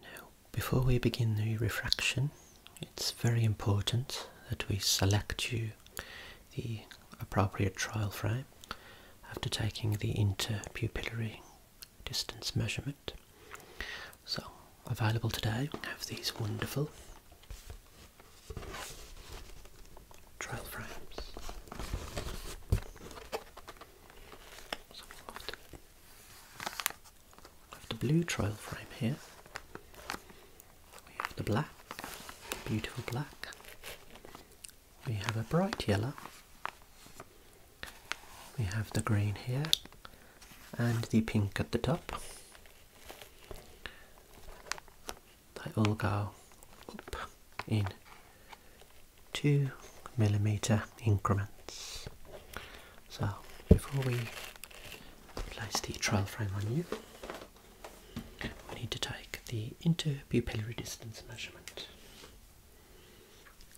Now, before we begin the refraction, it's very important that we select you the appropriate trial frame after taking the interpupillary distance measurement. So, available today, we have these wonderful trial frames. We have the blue trial frame here. We have the black, beautiful black. We have a bright yellow. We have the green here and the pink at the top. They all go up in 2 millimeter increments. So before we place the trial frame on you, we need to take the interpupillary distance measurement.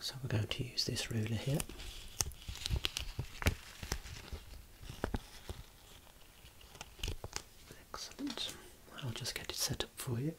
So we're going to use this ruler here. Excellent. I'll just get it set up for you.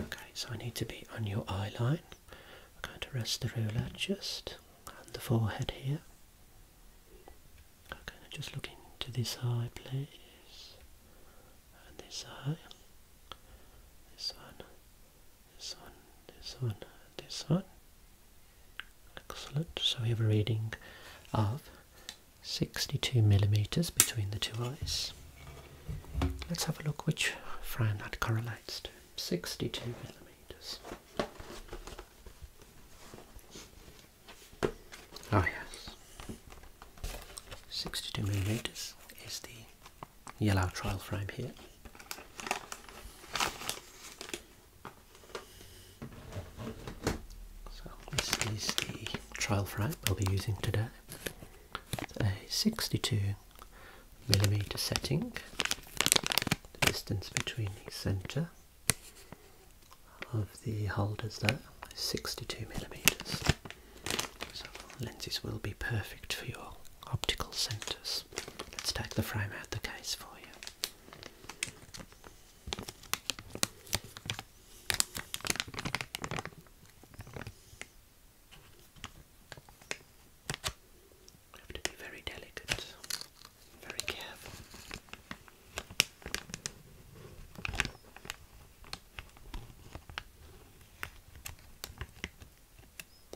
Okay, so I need to be on your eye line. I'm going to rest the ruler just on the forehead here. Okay, just look into this eye, please. And this eye. This one this one, this one, this one. Excellent. So we have a reading of 62 millimeters between the two eyes. Let's have a look which frame that correlates to. 62 millimeters. Oh yes, 62 millimeters is the yellow trial frame here. So this is the trial frame I'll be using today. It's a 62 millimeter setting. The distance between the centre of the holders there, 62 millimeters. So lenses will be perfect for your optical centres. Let's take the frame out the case for you. You have to be very delicate, very careful.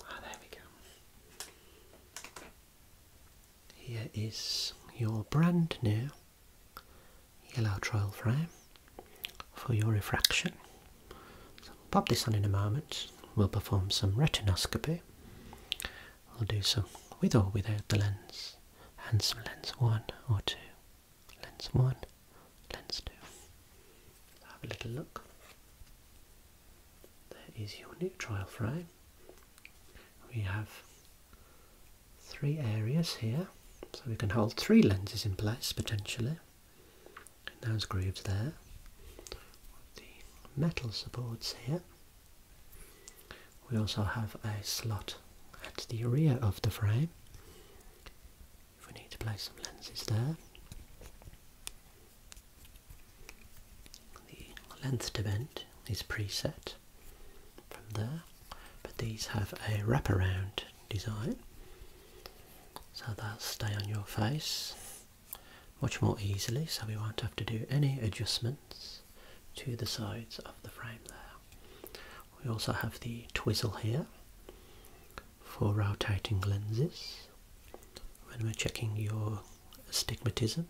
Ah, there we go. Here is your brand new yellow trial frame for your refraction. pop this on in a moment. We'll perform some retinoscopy. We'll do some with or without the lens and some lens 1 or 2. Lens 1, lens 2. Have a little look. There is your neutral frame. We have three areas here, so we can hold three lenses in place potentially. And those grooves there. The metal supports here. We also have a slot at the rear of the frame if we need to place some lenses there. The length to bend is preset from there, but these have a wraparound design, so they'll stay on your face much more easily, so we won't have to do any adjustments to the sides of the frame there. We also have the twizzle here, for rotating lenses, when we're checking your astigmatism,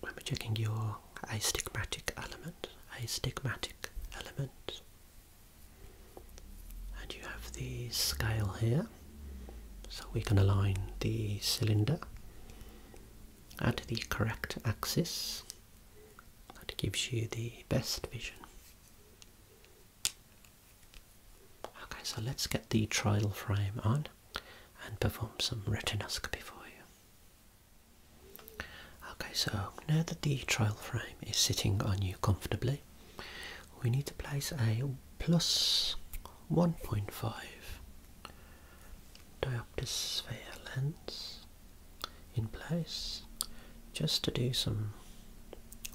when we're checking your astigmatic element, astigmatic element. And you have the scale here, so we can align the cylinder at the correct axis. That gives you the best vision. Okay, so let's get the trial frame on and perform some retinoscopy for you. Okay, so now that the trial frame is sitting on you comfortably, we need to place a plus 1.5 diopters sphere lens in place just to do some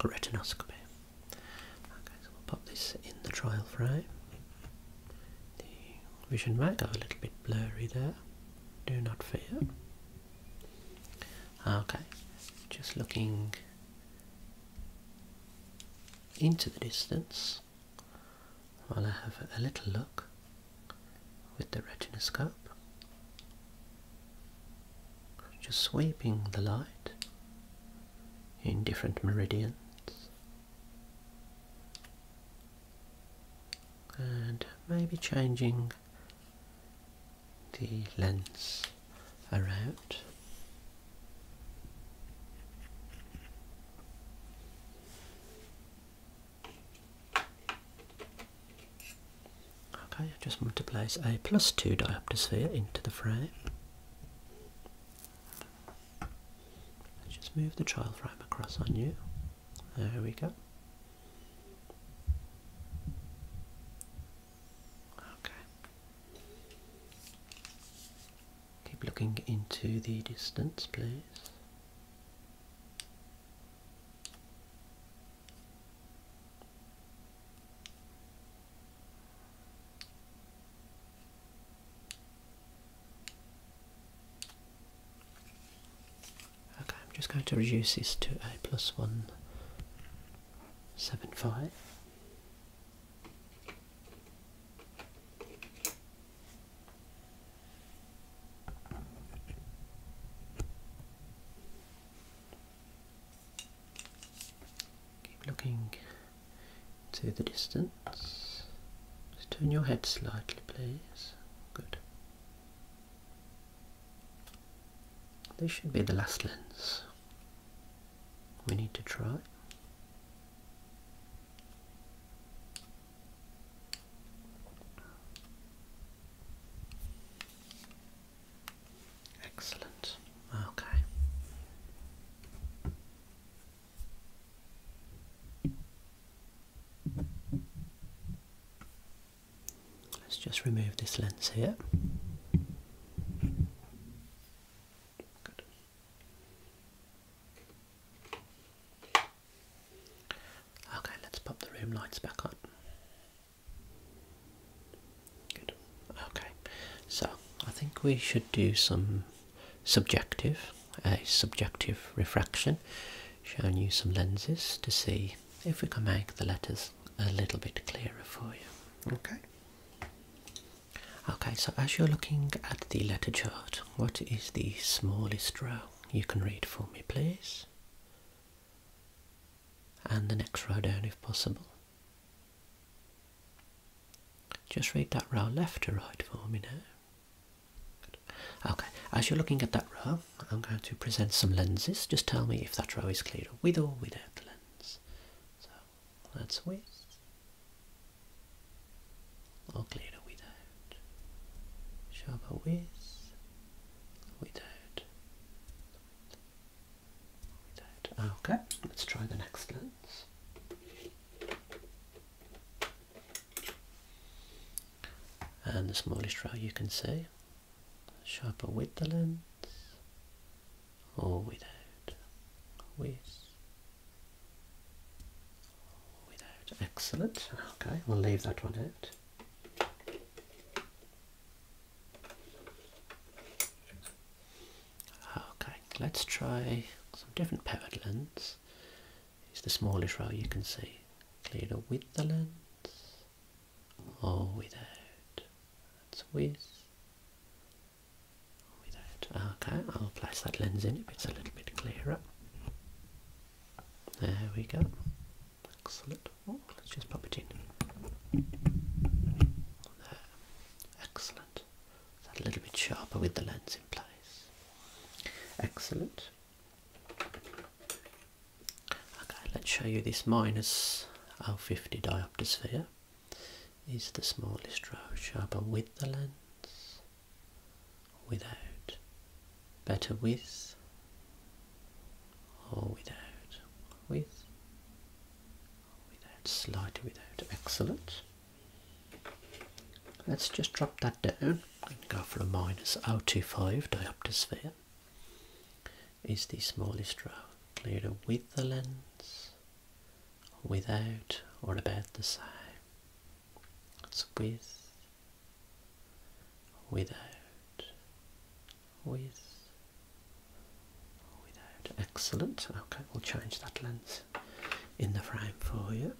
retinoscopy. Okay, so we'll pop this in the trial frame. The vision might go a little bit blurry there. Do not fear. Okay, just looking into the distance while I have a little look with the retinoscope just sweeping the light in different meridians and maybe changing the lens around Okay, I just want to place a plus 2 diopter sphere into the frame. Let's just move the child frame across on you. There we go. Okay. Keep looking into the distance, please. Okay, I'm just going to reduce this to a plus one seven five. Keep looking to the distance. turn your head slightly, please. Good. This should be the last lens we need to try. Excellent. Okay. Let's just remove this lens here. Good. Okay, let's pop the room lights back on. Okay, so I think we should do some subjective, a subjective refraction, showing you some lenses to see if we can make the letters a little bit clearer for you. Okay. Okay, so as you're looking at the letter chart, what is the smallest row you can read for me, please? and the next row down if possible. Just read that row left to right for me now. Okay, as you're looking at that row, I'm going to present some lenses. Just tell me if that row is clearer with or without the lens. So that's with or clearer without. Sharper with, without. Okay, let's try the next lens. And the smallest row you can see, sharper with the lens or without, with, without. Excellent. Okay, we'll leave that one out. Ah, okay, let's try some different pivot lenses. It's the smallest row you can see. clearer with the lens or without. That's with without. Ah, okay, I'll place that lens in if it's a little bit clearer. There we go. Excellent. Oh, let's just pop it in. There. Excellent. That a little bit sharper with the lens in place. Excellent. Okay, let's show you this minus minus 050 diopter sphere. Is the smallest row sharper with the lens? Without. Better with without, with, without, slight, without. Excellent. Let's just drop that down and go for a minus 025 diopter sphere. Is the smallest row clearer with the lens, without, or about the same? That's with, without, with, without. Excellent. Okay, we'll change that lens in the frame for you.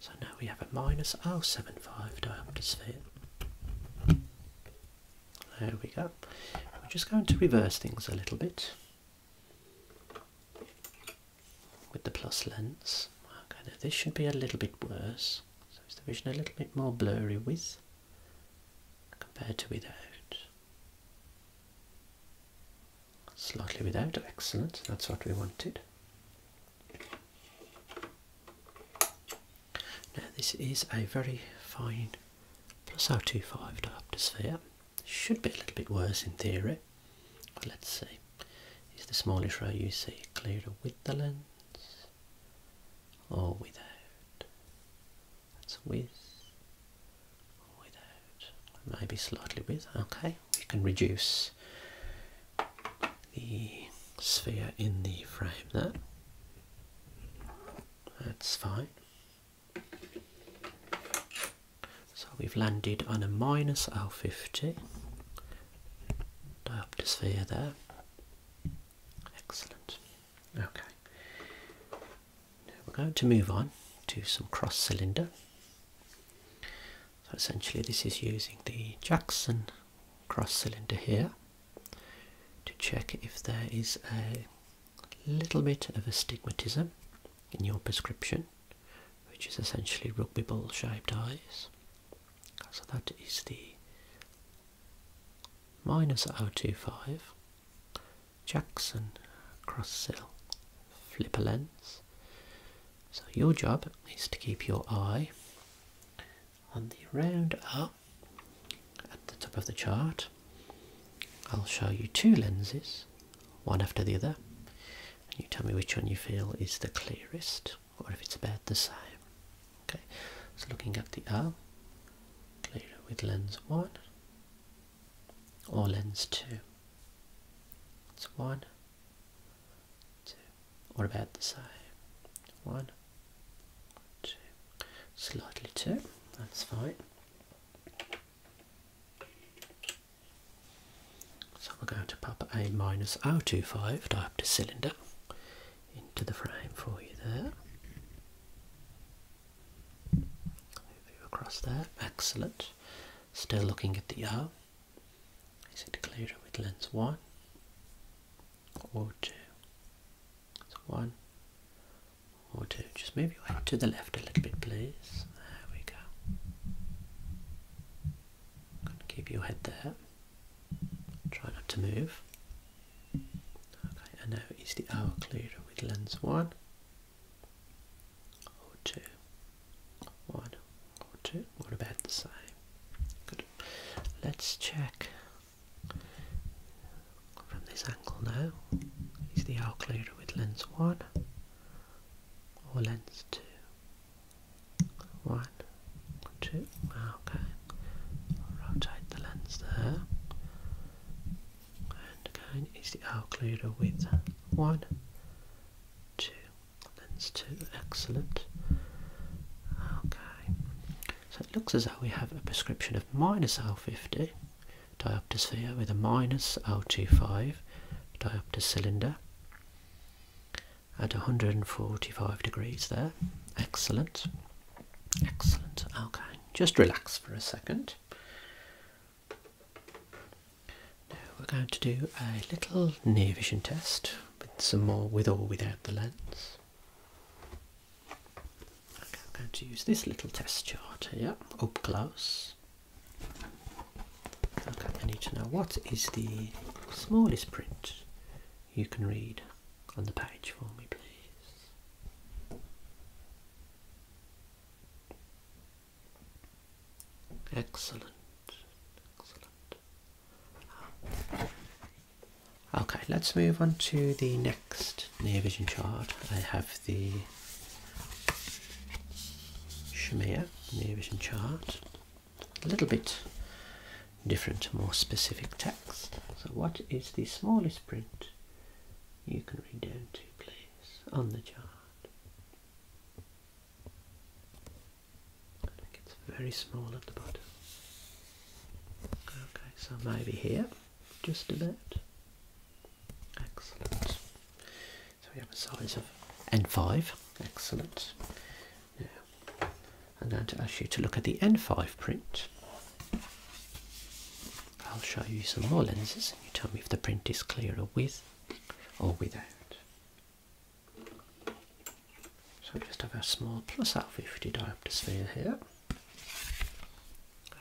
So now we have a minus minus 075 diameter sphere. There we go. We're just going to reverse things a little bit with the plus lens. this should be a little bit worse. So it's the vision a little bit more blurry with compared to without. Slightly without, excellent, that's what we wanted. Now this is a very fine plus plus 025 diopter sphere. Should be a little bit worse in theory. let's see. Is the smallest ray you see clearer with the lens or without? That's with without. Maybe slightly with. Okay, we can reduce the sphere in the frame there. That's fine. So we've landed on a minus R50 dioptosphere there. Excellent. Okay. we're going to move on to some cross cylinder. So essentially this is using the Jackson cross cylinder here to check if there is a little bit of astigmatism in your prescription, which is essentially rugby ball shaped eyes. So that is the minus 025 Jackson cross cell flipper lens. So your job is to keep your eye on the round up at the top of the chart, I'll show you two lenses, one after the other, and you tell me which one you feel is the clearest or if it's about the same. Okay, so looking at the R, clearer with lens 1 or lens 2. It's 1, 2, or about the same. 1, slightly too. that's fine. So we're going to pop a minus 025 diopter cylinder into the frame for you there. across there, excellent. Still looking at the R. Is it clear with lens 1? or two. one or two. Just move your to the left a little bit, please. There we go. keep your head there. Try not to move. Okay, and now is the hour clear with lens one or two. One or two. What about the same? Good. Let's check from this angle now is the occluder with lens 1 or lens 2. 1, 2, ah, okay. Rotate the lens there. And again is the occluder with 1, 2, lens 2, excellent. Okay. So it looks as though we have a prescription of minus R50, diopter with a minus R25 diopter cylinder at 145 degrees there. Excellent. Excellent. Okay, just relax for a second. Now we're going to do a little near vision test with some more with or without the lens. I'm going to use this little test chart here up close. Okay, I need to know what is the smallest print you can read on the page for me, please. Excellent, excellent. Okay, let's move on to the next near vision chart. I have the Shamir near vision chart. A little bit different, more specific text. So, what is the smallest print you can read down to, please, on the chart? It gets very small at the bottom. Okay, so maybe here, just a bit. Excellent. So we have a size of N5. Excellent. Now, I'm going to ask you to look at the N5 print. I'll show you some more lenses and you tell me if the print is clearer with or without. So we just have our small plus out 50 diopter sphere here.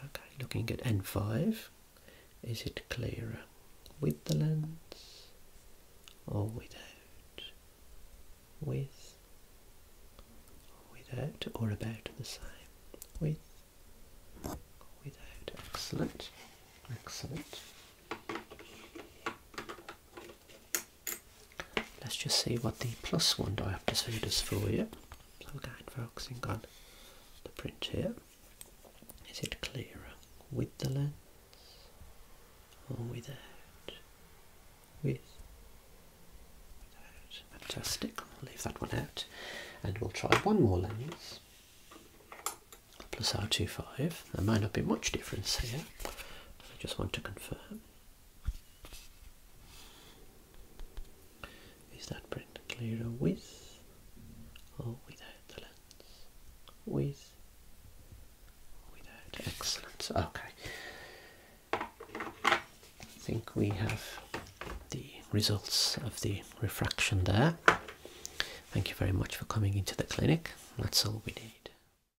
Okay, looking at N5, is it clearer with the lens or without? With or without or about the same? With without. Excellent. Excellent. Let's just see what the plus one diopter does for you. So we're again, focusing on the print here. Is it clearer with the lens or without? With? Without. Fantastic. I'll leave that one out. And we'll try one more lens. Plus R25. There might not be much difference here. I just want to confirm. Is that print clearer with or without the lens? With, without. Excellent. Okay. I think we have the results of the refraction there. Thank you very much for coming into the clinic. That's all we need.